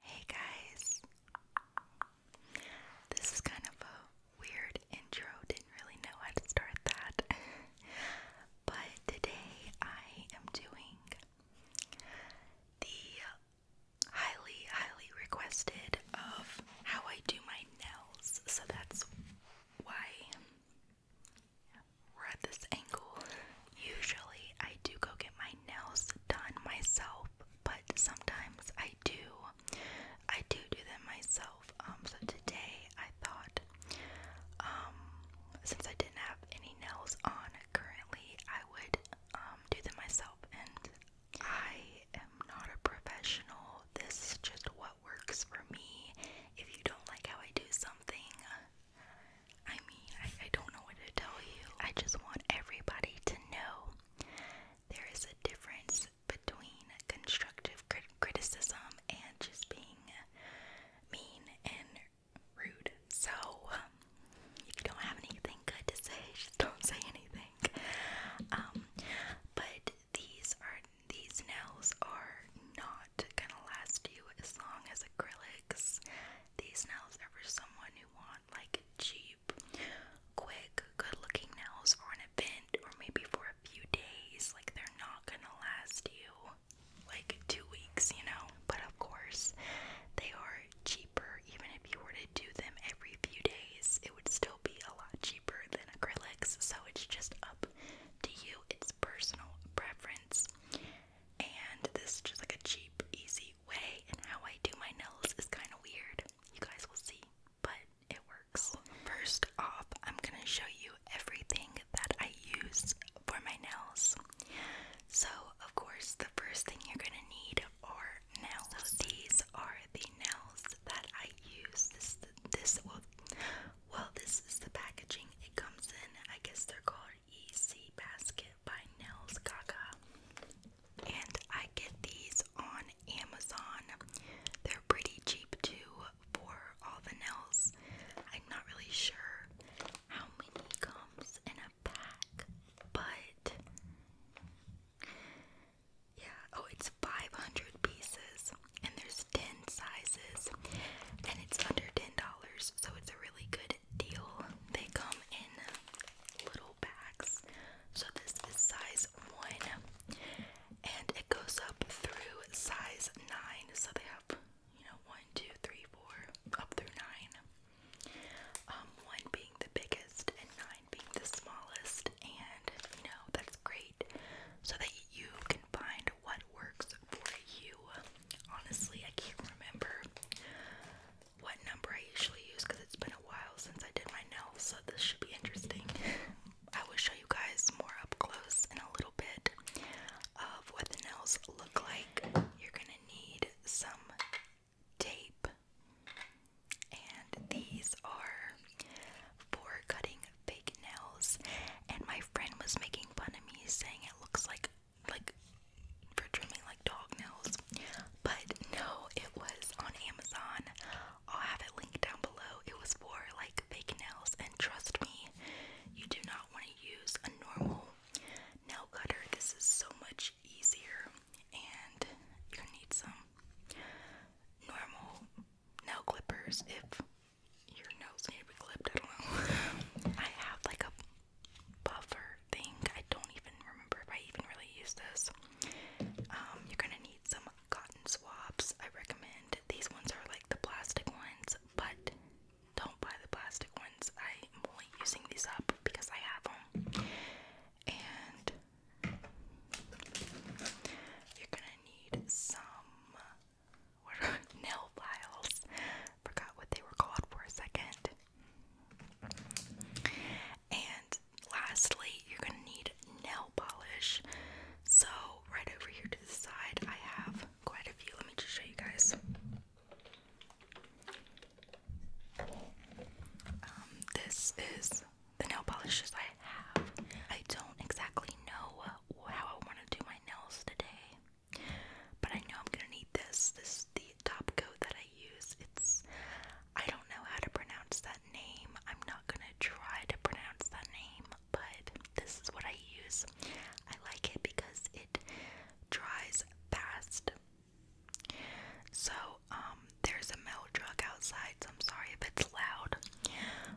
Hey guys! This is kind of a weird intro, didn't really know how to start that. but today I am doing the highly, highly requested of how I do my nails, so that's why we're at this angle. Usually I do go get my nails done myself but sometimes I do. I do do them myself. Um, so today I thought, um, since I didn't have any nails on currently, I would um, do them myself. And I am not a professional. This is just what works for me. If you don't like how I do something, I'm mean, I, I don't know what to tell you. I just want everybody to know there is a difference between constructive crit criticism and just being mean and rude. So, um, if you don't have anything good to say, just don't say anything. Um, but these are these nails are not gonna last you as long as acrylics. These nails are for someone who wants want like cheap, quick, good looking nails for an event or maybe for a few days. Like they're not gonna last you like two weeks, you know? But of course, they are cheaper. Even if you were to do them every few days, it would still be a lot cheaper than acrylics. So it's just up to you, it's personal preference. And this is just like a cheap, easy way, and how I do my nails is kind of weird. You guys will see, but it works. First off, I'm gonna show you everything that I use for my nails. So, of course, the first thing you're gonna need are nails. So these are the nails that I use. This, this well, well, this is the packaging it comes in. I guess they're called EC Basket by Nails Gaga and I get these on Amazon. They're pretty cheap too for all the nails. I'm not really sure how many comes in a pack, but yeah, oh, it's 500 pieces and there's 10 sizes and it's under $10, so it's a really good deal. They come in little bags. So this is size 1 and it goes up through size 9. So they have, you know, one, two, three, four, up through 9. Um, 1 being the biggest and 9 being the smallest and, you know, that's great so that you can find what works for you. Honestly, I can't remember what number I usually use because it's been a while since I did my nails, so this should be interesting. I will show you guys more up close in a little bit of what the nails look like. You're gonna need some tape, and these are for cutting fake nails. And my friend was making fun of me, saying it looks like like for trimming like dog nails. But no, it was on Amazon. I'll have it linked down below. It was for like fake nails, and trust me, you do not want to use a normal nail cutter. This is so much easier, and you're need some normal nail clippers if your nails need to be clipped. I don't know. I have like a buffer think. I don't even remember if I even really used this. Um, you're gonna need some cotton swabs. I recommend these ones are like the plastic ones, but don't buy the plastic ones. I'm only using these up because I have them. And you're gonna need some nail files. Forgot what they were called for a second. And lastly, you're going to need nail polish. So, right over here to the side, I have quite a few. Let me just show you guys. Um, this is the nail polishes I have. I don't exactly know how I want to do my nails today, but I know I'm going to need this. This is the top coat that I it's I don't know how to pronounce that name. I'm not gonna try to pronounce that name, but this is what I use. I like it because it dries fast. So, um, there's a mail drug outside, so I'm sorry if it's loud.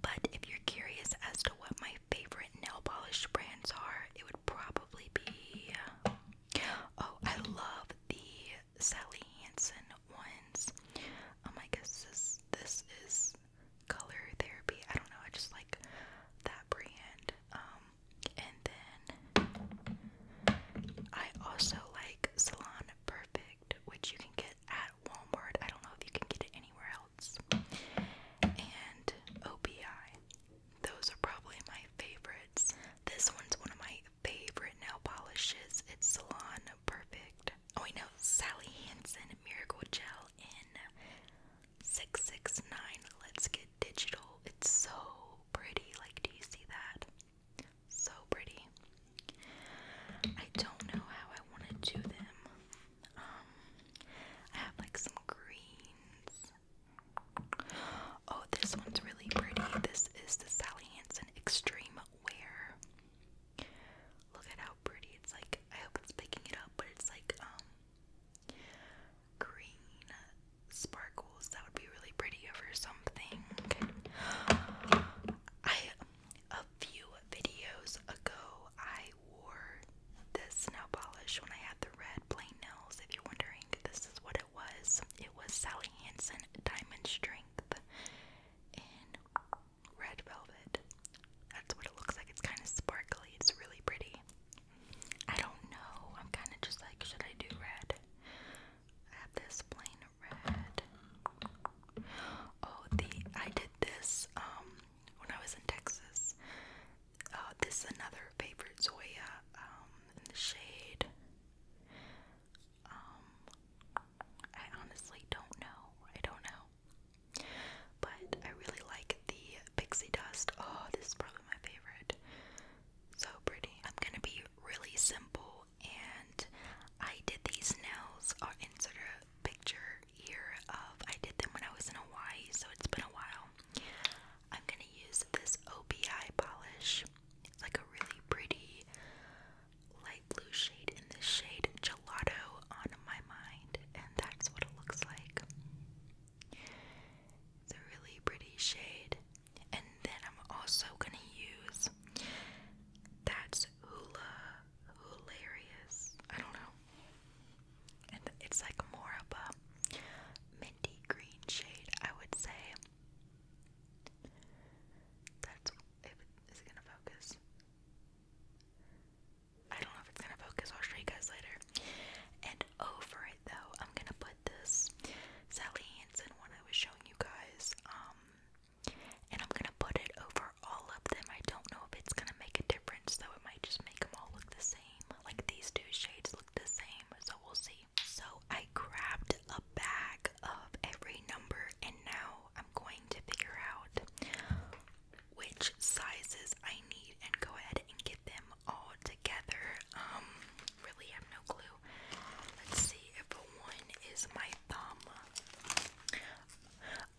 But if you're curious as to what my favorite nail polish brands are, it would probably be. Oh, I love the Sally Hansen ones. Um, oh I guess this this is color therapy. I don't know. I just like that brand. Um, and then I also like Salon Perfect, which you can get at Walmart. I don't know if you can get it anywhere else. And OPI. Those are probably my favorites. This one's one of my favorite nail polishes. It's Salon Perfect. Oh, I know Sally Hansen Miracle Gel in 669. Let's get digital. It's so pretty. Like, do you see that? So pretty. I don't know how I want to do them. Um, I have like some greens. Oh, this one's really pretty. This is the Sally Hansen Extreme Wear. Look at how pretty it's like. I hope it's picking it up, but it's like um, green sparkles. That would be really pretty over something. I a few videos ago I wore this nail polish when I had the red plain nails. If you're wondering, this is what it was. It was Sally Hansen Diamond Strength in red velvet. That's what it looks like. It's kind of sparkly. It's really pretty. I don't know. I'm kind of just like, should I do red? I have this plain red. Oh, the I did this um when I was in Texas. Uh, this is another favorite Zoya um in the shade um, I honestly don't know. I don't know. But I really like the pixie dust. Oh, this is probably my favorite. So pretty. I'm gonna be really simple, and I did these nails. I'll insert a picture here of I did them when I was in Hawaii, so it's been a while. I'm gonna use this OPI polish like a really pretty light blue shade in the shade Gelato on my mind, and that's what it looks like. It's a really pretty shade, and then I'm also gonna use that's Hula Hilarious. I don't know, and it's like more of a minty green shade, I would say. That's is it gonna focus? I don't know if it's gonna focus. I'll show you guys later. And over it though, I'm gonna put this Sally Hansen one I was showing you guys. Um, and I'm gonna put it over all of them. I don't know if it's gonna make a difference So It might just make them all look the same. Like these two shades look the same, so we'll see. So I grabbed a bag of every number, and now I'm going to figure out which sizes I need and go ahead and get them all together. Um, really have no clue. Let's see if one is my thumb.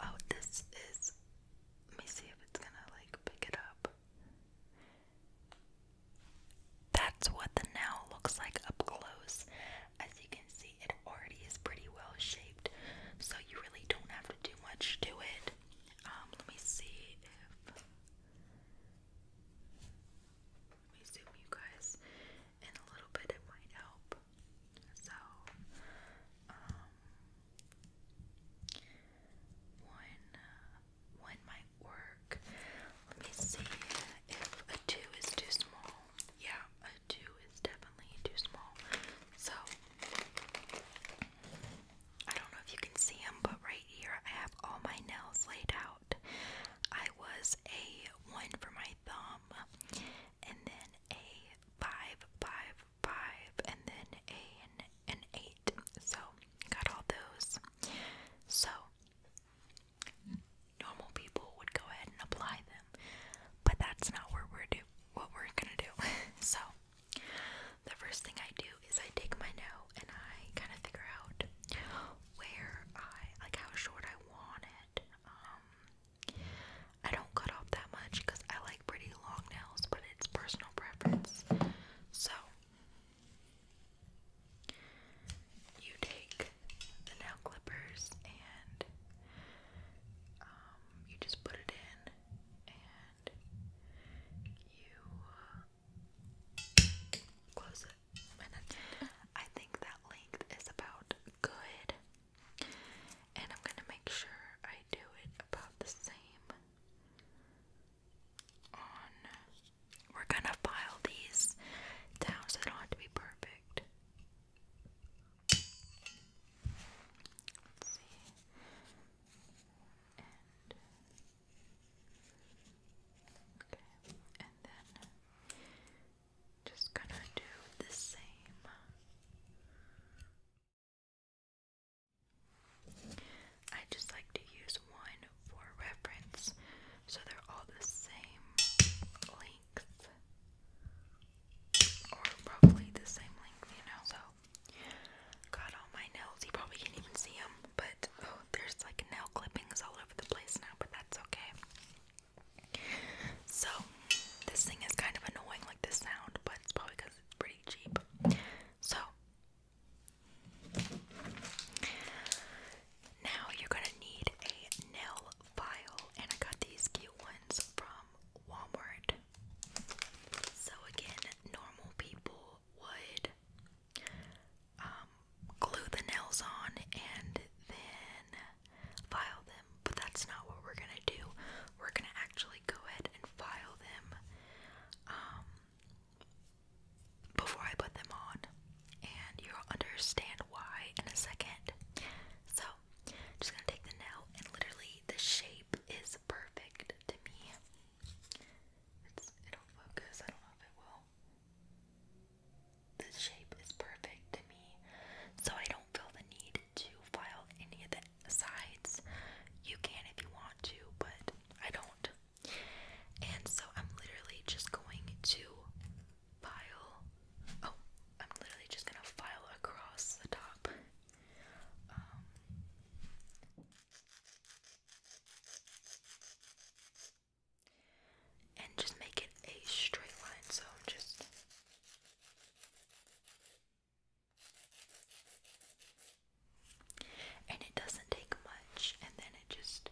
Oh, this is. Let me see if it's gonna like pick it up. That's what the now looks like up close. As you can see, it already is pretty well shaped, so you really don't have to do much to it. Um, let me see if let me zoom you guys in a little bit. It might help. So, um, when uh, work. Let me see if a 2 is too small. Yeah, a 2 is definitely too small. So, I don't know if you can see them, but right here I have all my nails laid out. I was a 1 for my thumb, and then a 5, 5, 5, and then a, an, an 8. So, got all those. So, normal people would go ahead and apply them, but that's not what we're do what we're gonna do. so the first thing I do is I take my nail and I kind of figure out where I like how short I want it. Um, I don't cut off that much because I like pretty long nails, but it's personal preference. So you take the nail clippers and um, you just put it in and you uh, close it. I think that length is about good. And I'm gonna make sure I do it about the same on we're gonna file these down so they don't have to be perfect. okay, and then just gonna do the same. I just like to use one for reference so they're all the same length or roughly the same length, you know. So got all my nails. You probably can't even see them, but oh, there's like nail clippings all over the place now, but that's okay. So this thing is kind of annoying, like this sound, but it's probably because it's pretty cheap. So now you're gonna need a nail file, and I got these cute ones from Walmart. So again, normal people would um, glue the nails on and then file them, but that's not what we're gonna do. We're gonna actually go ahead and file them um, before I put them on and you'll understand why in a second. So, just gonna take the nail, and literally, the shape is perfect to me. it'll focus, I don't know if it will. The shape is perfect to me, so I don't feel the need to file any of the sides. You can if you want to, but I don't. And so I'm literally just going to file. Oh, I'm literally just gonna file across the top. Um, and just make it a straight line, so I'm just and it doesn't take much, and then it just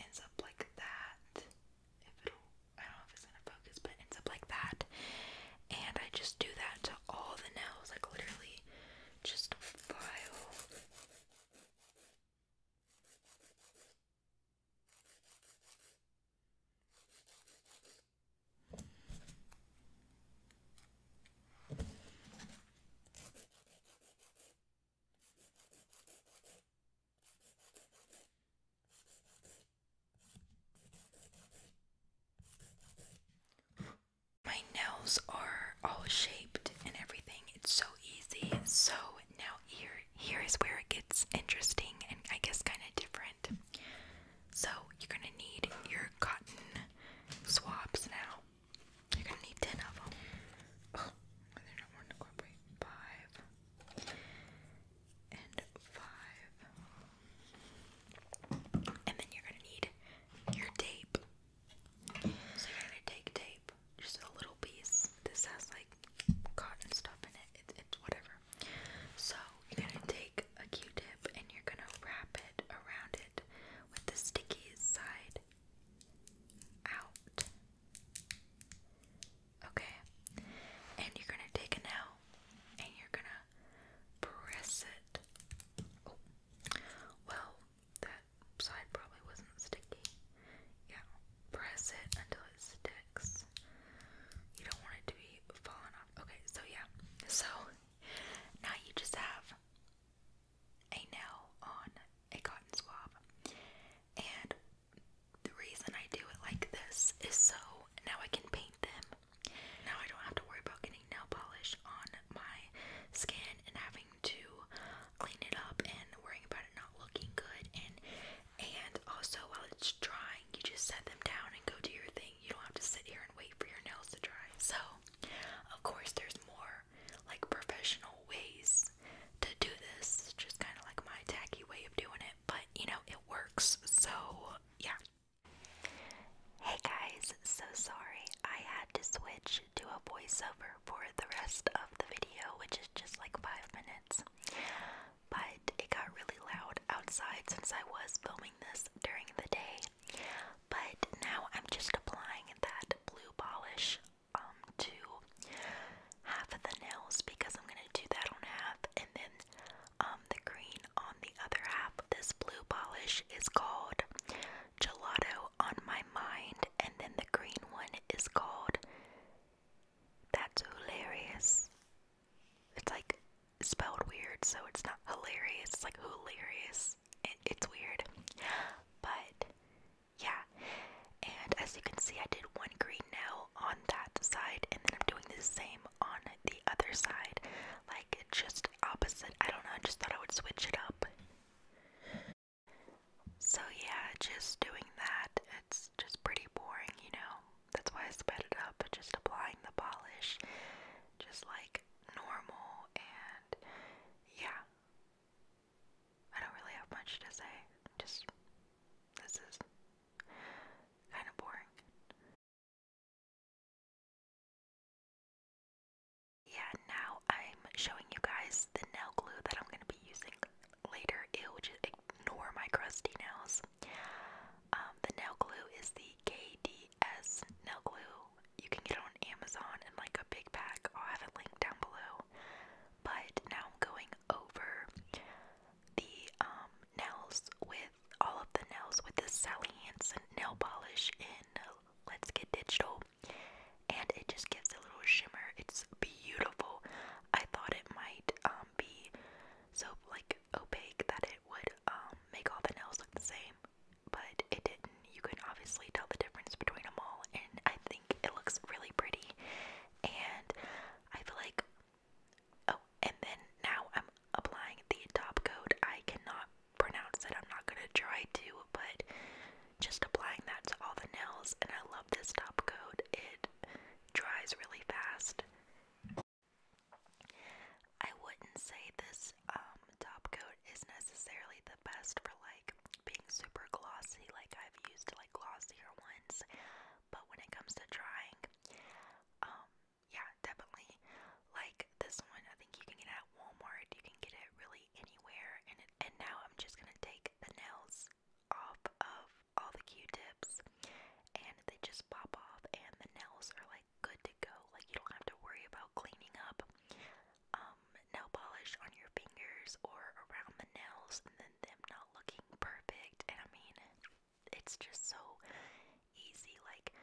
ends up like that if it I don't know if it's gonna focus, but ends up like that. And I just do that to all the nails, like literally just file. My nails are all shaped and everything. It's so easy. So now here here is where it gets interesting and I guess kind of different. So you're gonna need your cotton swabs now. You're gonna need ten of oh, them. Five, and five. And then you're gonna need your tape. So you're gonna take tape, just a little piece. This has like cotton stuff in it. It's, whatever. So you're gonna take a Q-tip and you're gonna wrap it around it with the sticky side out. Okay. And you're going to take a nail and you're going to press it. Oh. Well, that side probably wasn't sticky. Yeah. Press it until it sticks. You don't want it to be falling off. Okay, so yeah. So now you just have a nail on a cotton swab. And the reason I do it like this is so now I can paint them. Now I don't have to worry about getting nail polish on my skin and having to clean it up and worrying about it not looking good and and also while it's drying you just set them down and go do your thing. You don't have to sit here and wait for your nails to dry. So of course there's more like professional ways to do this. It's just kind of like my tacky way of doing it, but you know, it works. So, yeah. Hey guys, so sorry. I had to switch to a voiceover for the rest of the video, which is just like five minutes. But it got really loud outside since I was filming this during the day. But now I'm just applying that blue polish um, to half of the nails because I'm gonna do that on half and then um the green on the other half. This blue polish is called Gelato on my mind and then the green one is called That's hilarious. It's like spelled weird, so it's not hilarious. It's like hilarious. it's weird. But yeah, and as you can see, I did one green now on that side, and then I'm doing the same on the other side, like just opposite. I don't know, I just thought I would switch it up. So, yeah, just doing that, it's just pretty boring, you know? That's why I sped it up, just applying the polish, just like normal, and yeah. I don't really have much to say. Just this is Kind of boring. Yeah, now I'm showing you guys the nail glue that I'm going to be using later. Ew, just ignore my crusty nails. Um, the nail glue is the KDS nail glue. You can get on Amazon in like a big pack. I'll have it linked down below. But now I'm going over the um nails with all of the nails with the Sally Hansen nail polish in Let's Get Digital and it just gives a little shimmer. It's beautiful. I thought it might um be so like opaque that it would um make all the nails look the same, but it didn't. You can obviously tell the difference between them all and I think it looks really pretty and I feel like Oh, and then now I'm applying the top coat. I cannot pronounce it. I'm not gonna try to, but just applying that to all the nails. And I love this top coat. It dries really fast. I wouldn't say this um, top coat is necessarily the best for like being super glossy. Like I've used like glossier ones but when it comes to drawing, um, yeah, definitely. Like this one, I think you can get at Walmart. You can get it really anywhere. And and now I'm just gonna take the nails off of all the Q-tips, and they just pop off, and the nails are like good to go. Like you don't have to worry about cleaning up um, nail polish on your fingers or around the nails. And them not looking perfect. And I mean, it's just so easy. Like,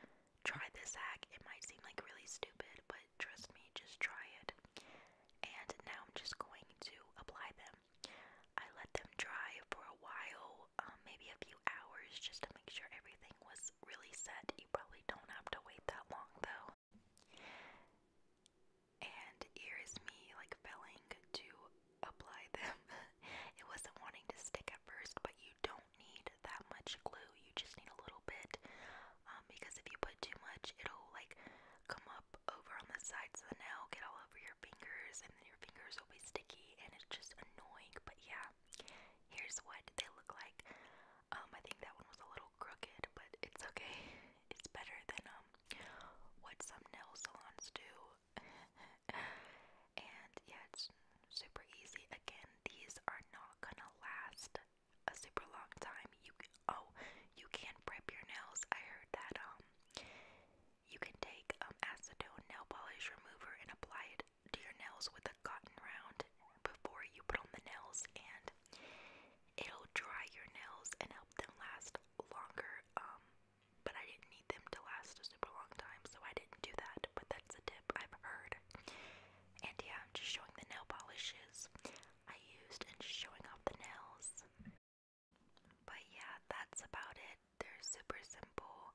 try this hack. It might seem like really stupid, but trust me, just try it. And now I'm just going to apply them. I let them dry for a while, um, maybe a few hours, just to make sure everything was really set. You probably don't have to wait that long though and here is me like failing to apply them. it wasn't wanting to stick at first, but you don't need that much glue. You just need a little bit um, because if you put too much, it'll like come up over on the sides of the nail, get all over your fingers, and then your fingers will be sticky, and it's just annoying. But yeah, here's what they look like. Um, I think that one was a little crooked, but it's okay. It's better than um what some nail salons do. and yeah, it's super easy. Again, these are not gonna last a super long time. You oh, you can prep your nails. I heard that um, you can take um acetone nail polish remover and apply it to your nails with a cotton round before you put on the nails, and it'll dry your nails and help them last longer. Um, but I didn't need them to last a super long time, so I didn't do that. But that's a tip I've heard. And yeah, I'm just showing the nail polishes I used and just showing off the nails. But yeah, that's about it. They're super simple,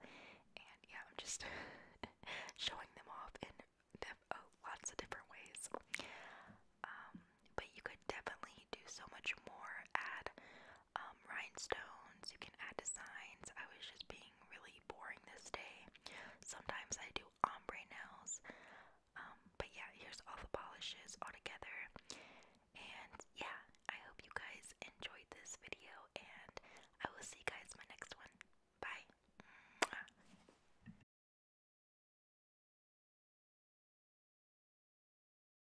and yeah, I'm just showing them off in oh, lots of different ways. Um, but you could definitely do so much more. Add um, rhinestones, you can add designs. I was just being really boring this day. Sometimes I do ombre nails. Um, but yeah, here's all the polishes all together. And yeah, I hope you guys enjoyed this video, and I will see you guys my next one. Bye.